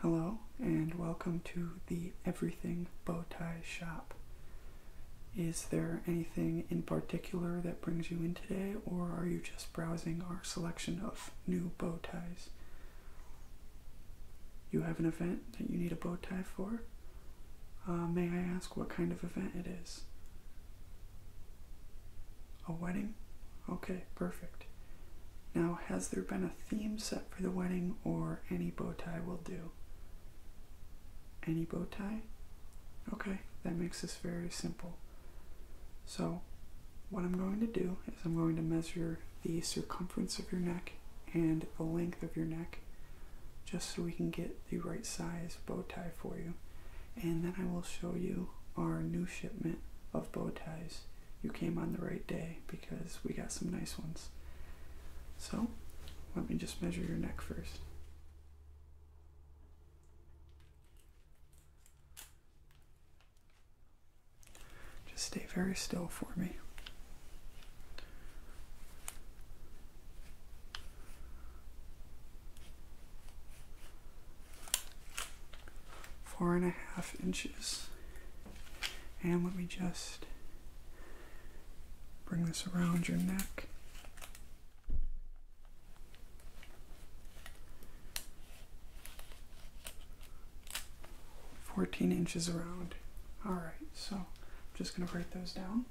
Hello and welcome to the Everything Bow Tie Shop. Is there anything in particular that brings you in today, or are you just browsing our selection of new bow ties? You have an event that you need a bow tie for? Uh, may I ask what kind of event it is? A wedding? Okay, perfect. Now, has there been a theme set for the wedding or any bow tie will do? Any bow tie? Okay, that makes this very simple. So, what I'm going to do is I'm going to measure the circumference of your neck and the length of your neck just so we can get the right size bow tie for you. And then I will show you our new shipment of bow ties. You came on the right day because we got some nice ones. So, let me just measure your neck first. Just stay very still for me four and a half inches. And let me just bring this around your neck. Fourteen inches around. All right, so I'm just gonna break those down.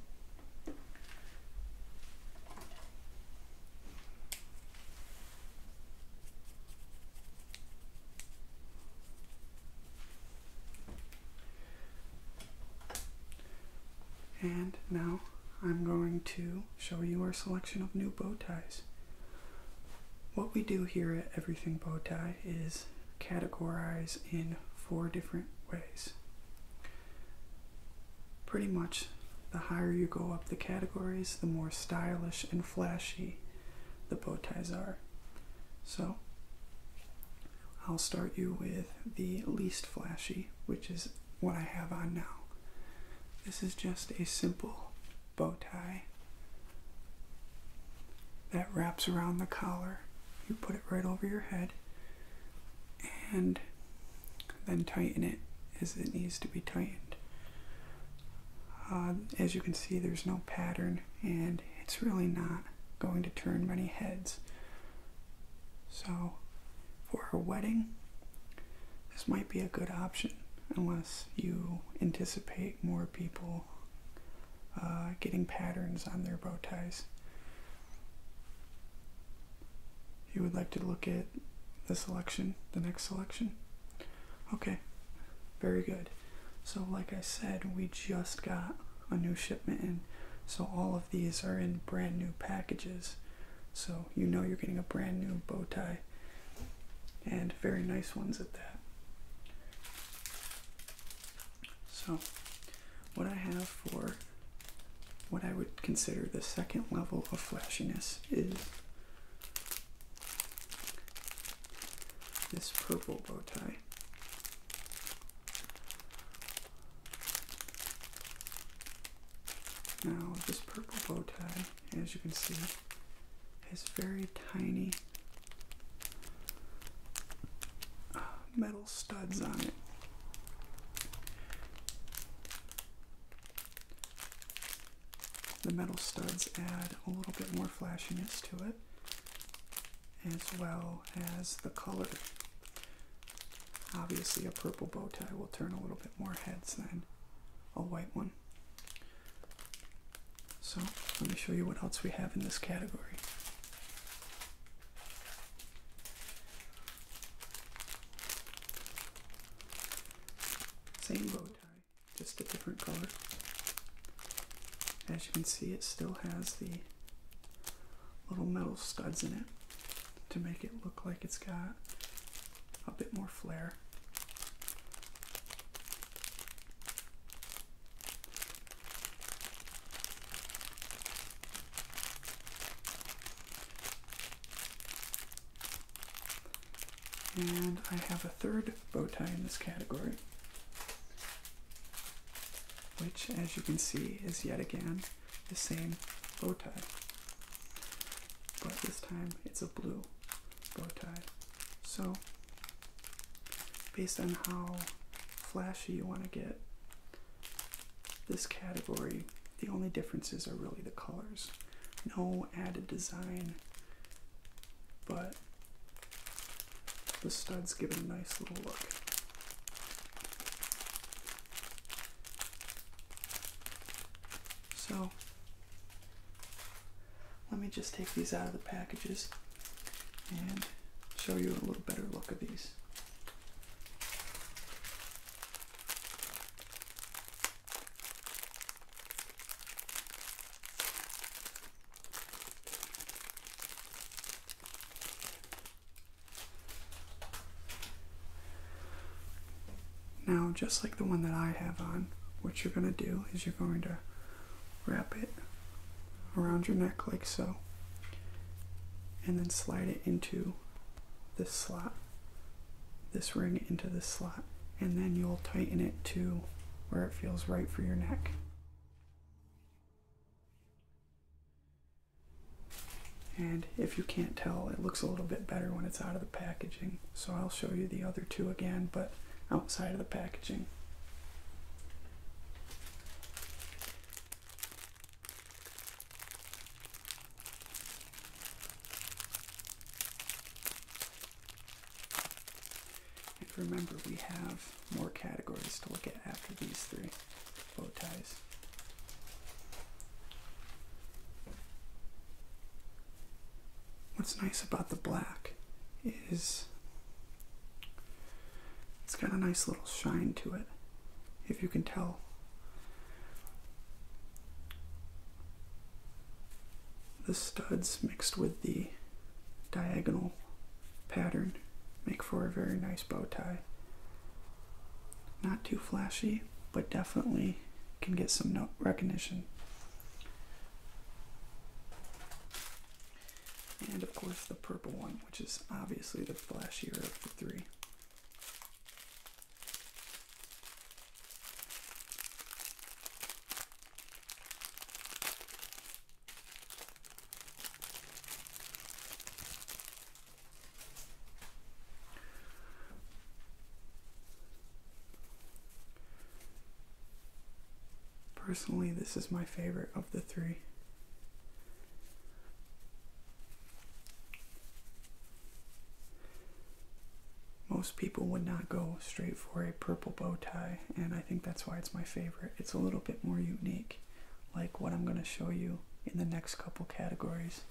And now I'm going to show you our selection of new bow ties. What we do here at Everything Bow Tie is categorize in four different ways. Pretty much, the higher you go up the categories, the more stylish and flashy the bow ties are. So, I'll start you with the least flashy, which is what I have on now. This is just a simple bow tie that wraps around the collar. You put it right over your head, and then tighten it as it needs to be tightened. Uh, as you can see, there's no pattern and it's really not going to turn many heads. So, for a wedding, this might be a good option unless you anticipate more people uh, getting patterns on their bow ties you would like to look at the selection, the next selection? Okay, very good. So, like I said, we just got a new shipment in. So, all of these are in brand new packages. So, you know you're getting a brand new bow tie and very nice ones at that. So, what I have for what I would consider the second level of flashiness is this purple bow tie. Now, this purple bow tie, as you can see, has very tiny metal studs on it. The metal studs add a little bit more flashiness to it, as well as the color. Obviously, a purple bow tie will turn a little bit more heads than a white one. So, let me show you what else we have in this category. Same bow tie, just a different color. As you can see, it still has the little metal studs in it to make it look like it's got a bit more flair. And I have a third bow tie in this category, which, as you can see, is yet again the same bow tie. But this time it's a blue bow tie. So, based on how flashy you want to get, this category, the only differences are really the colors no added design, but the studs give it a nice little look. So let me just take these out of the packages and show you a little better look of these. Now, just like the one that I have on, what you're going to do is you're going to wrap it around your neck like so, and then slide it into this slot, this ring into this slot, and then you'll tighten it to where it feels right for your neck. And if you can't tell, it looks a little bit better when it's out of the packaging. So I'll show you the other two again, but outside of the packaging. And remember, we have more categories to look at after these three bow ties. What's nice about the black is it's got a nice little shine to it, if you can tell the studs mixed with the diagonal pattern make for a very nice bow tie. Not too flashy, but definitely can get some recognition. And of course the purple one, which is obviously the flashier of the three. Personally, this is my favorite of the three. Most people would not go straight for a purple bow tie, and I think that's why it's my favorite. It's a little bit more unique, like what I'm going to show you in the next couple categories.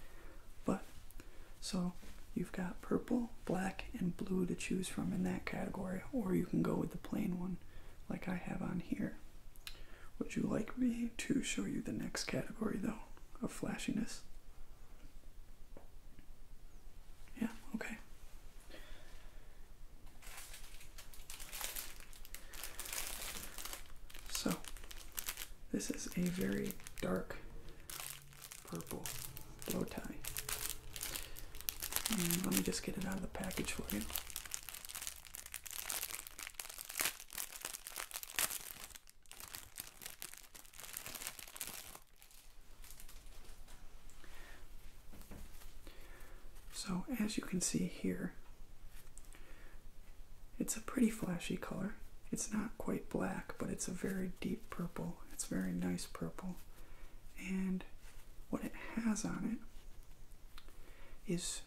But so you've got purple, black, and blue to choose from in that category, or you can go with the plain one like I have on here. Would you like me to show you the next category though of flashiness? Yeah, okay. So, this is a very dark purple blow tie. And let me just get it out of the package for you. So, as you can see here, it's a pretty flashy color. It's not quite black, but it's a very deep purple. It's very nice purple. And what it has on it is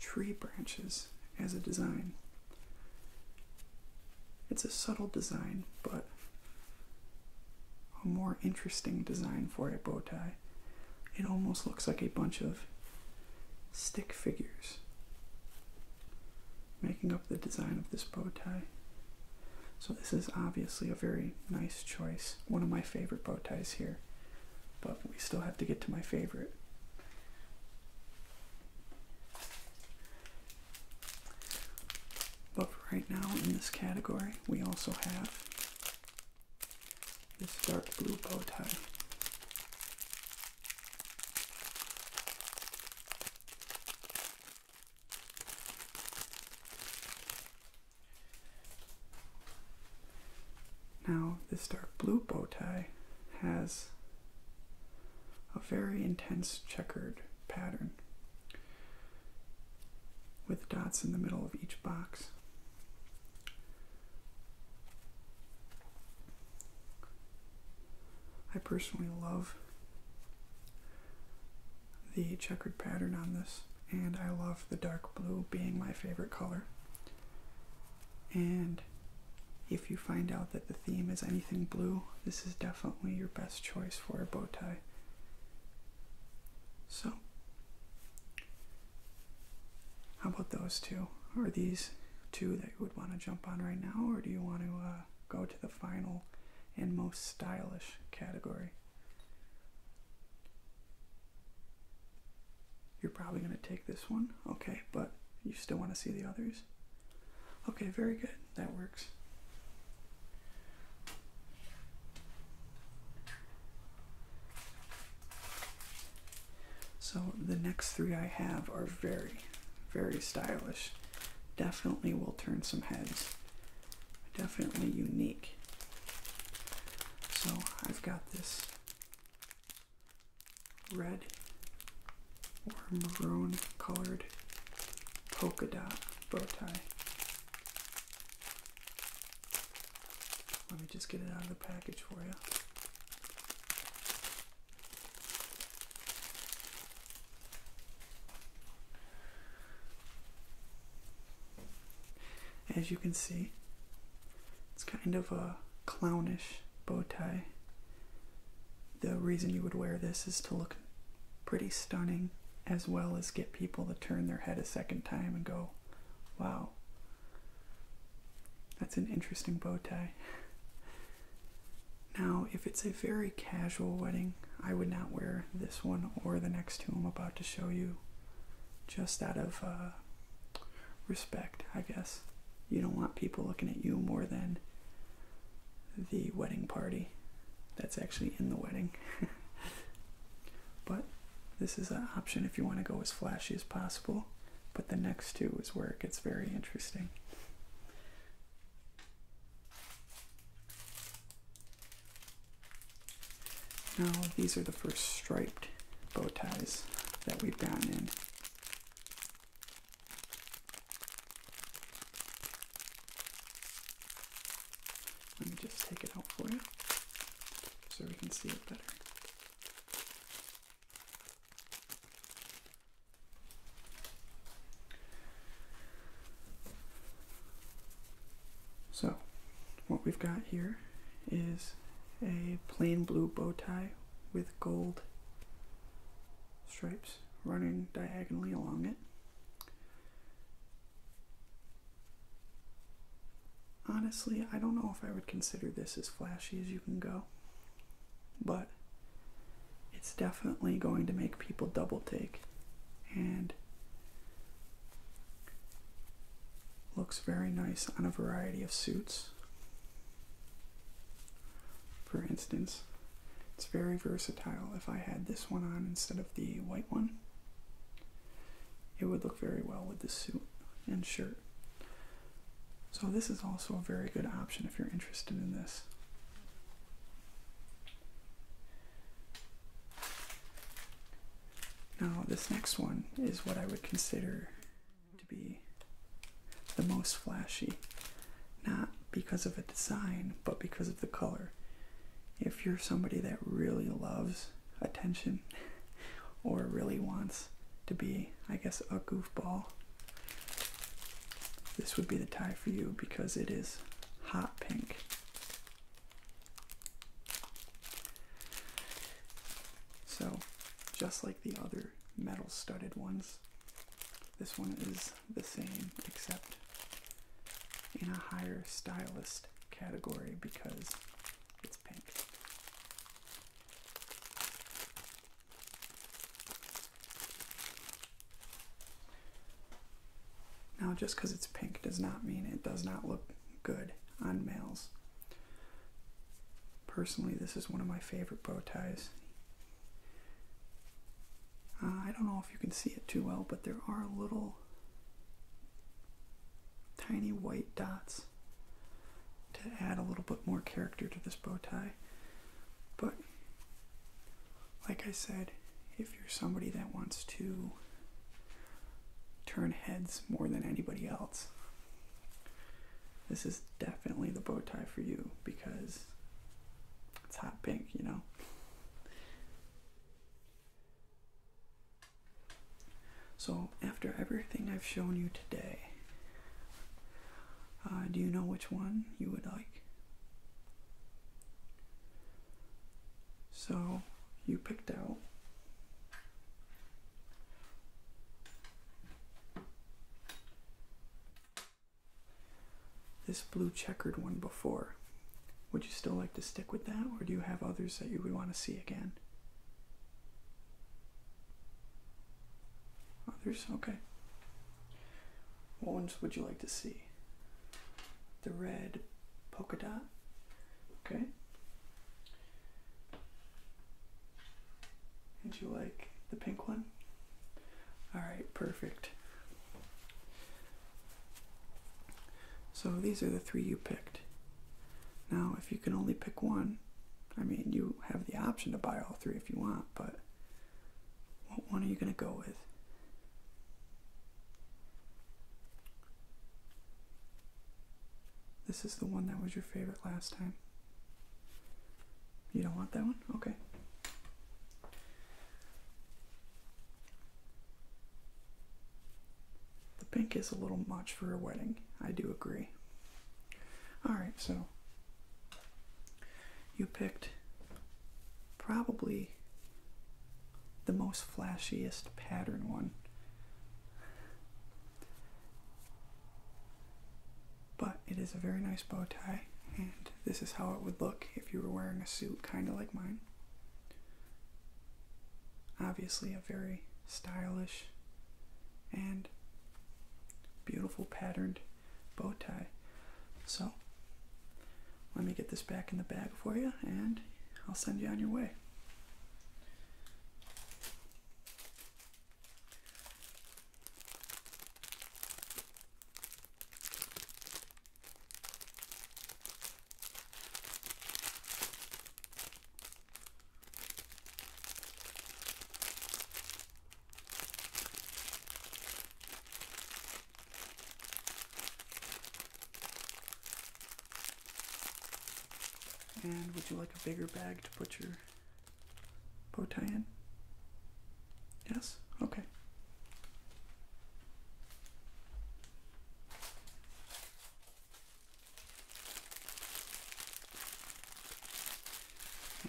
tree branches as a design. It's a subtle design, but a more interesting design for a bow tie. It almost looks like a bunch of stick figures making up the design of this bow tie. So, this is obviously a very nice choice. One of my favorite bow ties here, but we still have to get to my favorite. But right now, in this category, we also have this dark blue bow tie. Now, this dark blue bow tie has a very intense checkered pattern with dots in the middle of each box. I personally love the checkered pattern on this, and I love the dark blue being my favorite color. And if you find out that the theme is anything blue, this is definitely your best choice for a bow tie. So, how about those two? Are these two that you would want to jump on right now, or do you want to uh, go to the final and most stylish category? You're probably going to take this one, okay, but you still want to see the others? Okay, very good. That works. So the next three I have are very, very stylish. Definitely will turn some heads. Definitely unique. So I've got this red or maroon colored polka dot bow tie. Let me just get it out of the package for you. As you can see, it's kind of a clownish bow tie the reason you would wear this is to look pretty stunning as well as get people to turn their head a second time and go, wow, that's an interesting bow tie. Now, if it's a very casual wedding, I would not wear this one or the next two I'm about to show you just out of uh, respect, I guess. You don't want people looking at you more than the wedding party that's actually in the wedding. but this is an option if you want to go as flashy as possible. But the next two is where it gets very interesting. Now, these are the first striped bow ties that we've gotten in. Let me just take it out for you so we can see it better. So, what we've got here is a plain blue bow tie with gold stripes running diagonally along it. Honestly, I don't know if I would consider this as flashy as you can go, but it's definitely going to make people double take and looks very nice on a variety of suits for instance. It's very versatile. If I had this one on instead of the white one, it would look very well with this suit and shirt. So, this is also a very good option if you're interested in this. Now, this next one is what I would consider to be the most flashy, not because of a design, but because of the color. If you're somebody that really loves attention or really wants to be, I guess, a goofball, this would be the tie for you because it is hot pink. So, just like the other metal studded ones, this one is the same except in a higher stylist category because it's pink. Now, just because it's pink does not mean it does not look good on males. Personally, this is one of my favorite bow ties. Uh, I don't know if you can see it too well, but there are little tiny white dots to add a little bit more character to this bow tie. But like I said, if you're somebody that wants to turn heads more than anybody else, this is definitely the bow tie for you because it's hot pink, you know. So, after everything I've shown you today, uh, do you know which one you would like? So, you picked out this blue checkered one before. Would you still like to stick with that, or do you have others that you would want to see again? Others? Okay. What ones would you like to see? The red polka dot? Okay. And you like the pink one? All right, perfect. So these are the three you picked. Now, if you can only pick one, I mean, you have the option to buy all three if you want, but what one are you going to go with? This is the one that was your favorite last time. You don't want that one? Okay. The pink is a little much for a wedding, I do agree. Alright, so you picked probably the most flashiest pattern one but it is a very nice bow tie, and this is how it would look if you were wearing a suit kind of like mine. Obviously, a very stylish and beautiful patterned bow tie. So, let me get this back in the bag for you, and I'll send you on your way. And would you like a bigger bag to put your bow tie in? Yes? Okay.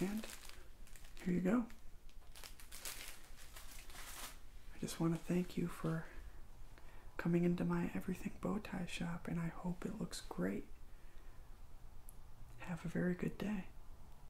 And here you go. I just want to thank you for coming into my everything bow tie shop and I hope it looks great. Have a very good day.